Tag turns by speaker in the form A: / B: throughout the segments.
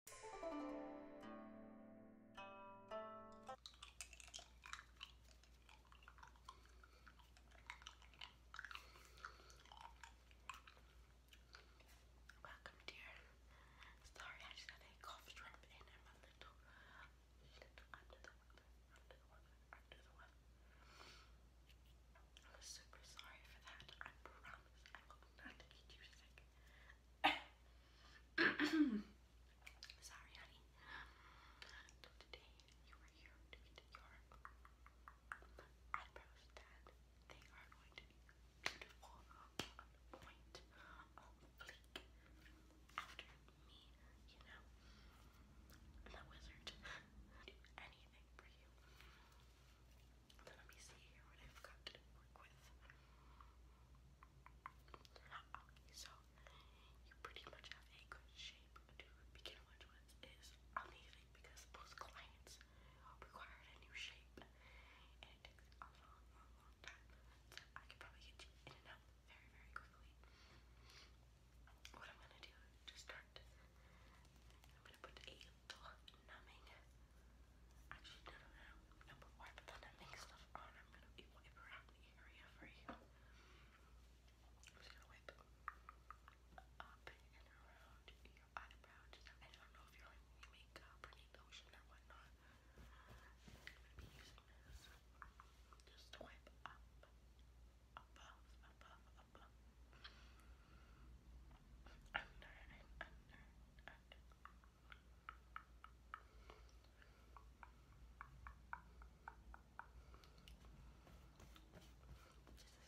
A: Welcome, dear. Sorry, I just had a cough drop in. i little, little under the weather, under the weather, under the weather. I'm super sorry for that. I promise I will not get you sick. Sorry, honey. today you are here to get your eyebrows done. They are going to be beautiful, point, on fleek. After me, you know, I'm a wizard. Do anything for you. Let me see here what I've to work with. so you pretty much have a good shape to begin with, which amazing because most clients require a new shape and it takes a long, long, time. So I could probably get you in and out very, very quickly. What I'm gonna do is start. I'm gonna put a the numbing. Actually, no, no, no, no, but why put the numbing stuff on? I'm gonna be wipe around the area for you. just gonna wipe up and around your eyebrow. I don't know if you're like makeup or any lotion or whatnot. I'm gonna be using this just wipe up, above, above, above. Under and under and under this is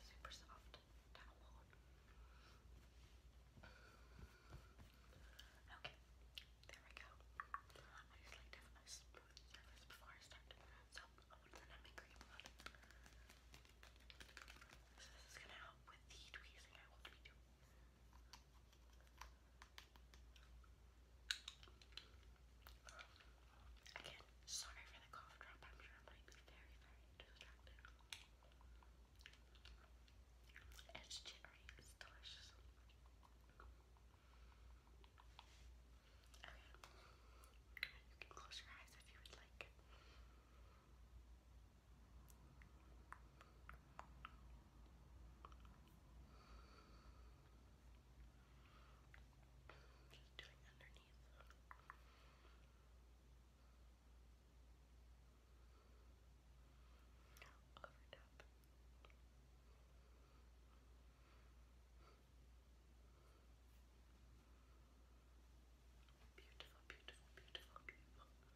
A: super soft towel. Okay, there we go. I just like to have smooth surface before I start. So I want to let cream this is gonna help with the tweezing I will be doing. Again, sorry for the cough drop. I'm sure I'm be very, very distracted. It's cherry. It's delicious. Okay. You can close your eyes if you would like. Just doing underneath. Over top. Beautiful, beautiful, beautiful, beautiful.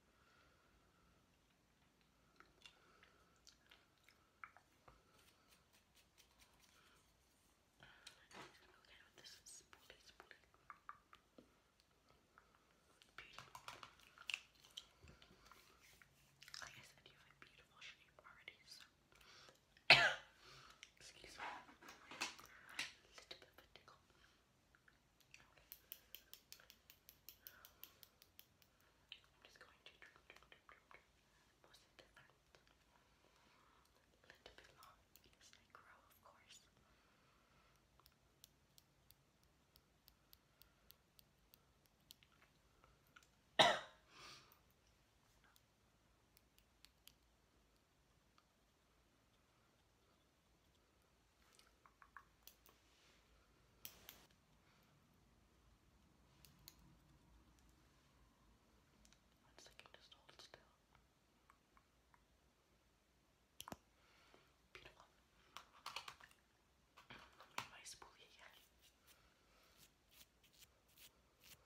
A: i Like I said, you have a beautiful shape already, so. Excuse me. A little bit of a tickle. I'm just going to drip, drip, drip, drip, drip. Most of the A little bit long as I grow, of course. Once they can just hold it still. Beautiful. Let me my spoolie again. Over here. Beautiful.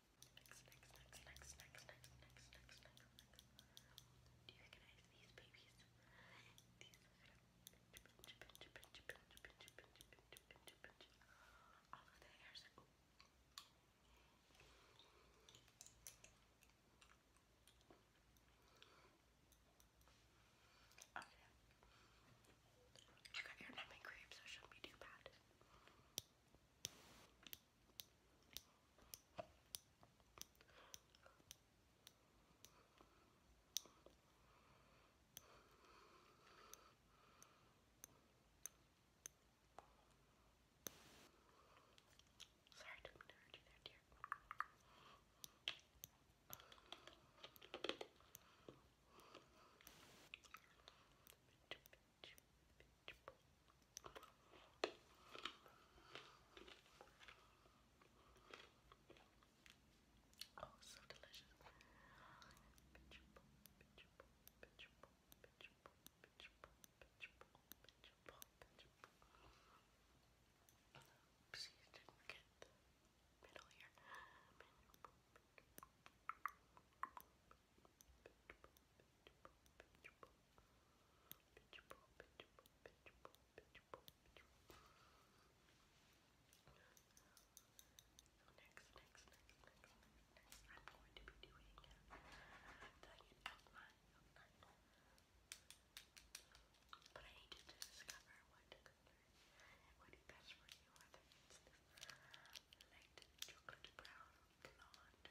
A: Next, next, next, next, next, next, next, next, next, next. Do you recognize these babies? These are all of the hairs are. Ooh. Okay. I got air numbing cream, so it shouldn't be too bad. Sorry, I didn't hurt you there, dear. Oh, so delicious. Oops, you didn't get the middle here next, next, next, I'm going to be doing the outline But I need you to discover what color best for you, light chocolatey brown blonde with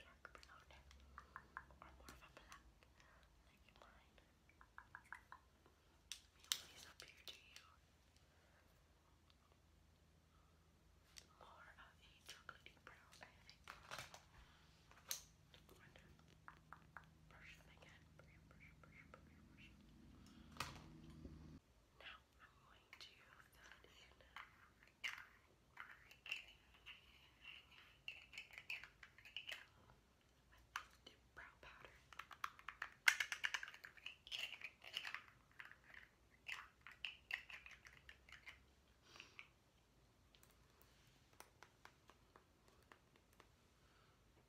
A: dark brown or more of a black like mine. Maybe these appear to you more of a chocolatey brown, I think. wonder brush them Now I'm going to fill it in. With the brow powder.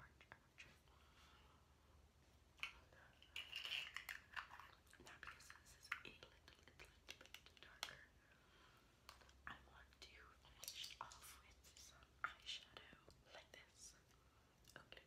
A: arch, arch, Now because this is a little, little, little bit darker, I want to finish off with eyeshadow like this. Okay,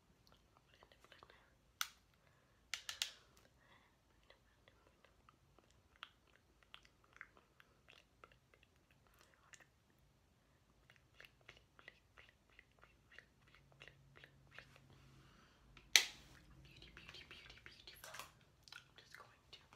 A: blend, blend. Beauty, beauty, beauty, beautiful. I'm just going to wipe the edge.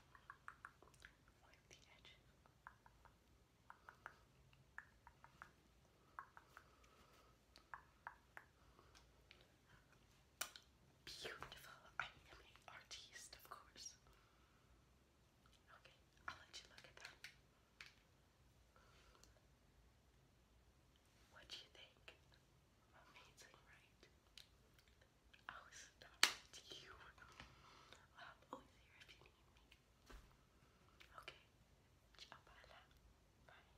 A: Beautiful. I am an artist, of course. Okay, I'll let you look at that. What do you think? Amazing, right? I was to you. I'm um, always oh, here if you need me. Okay, ciao, bella. Bye.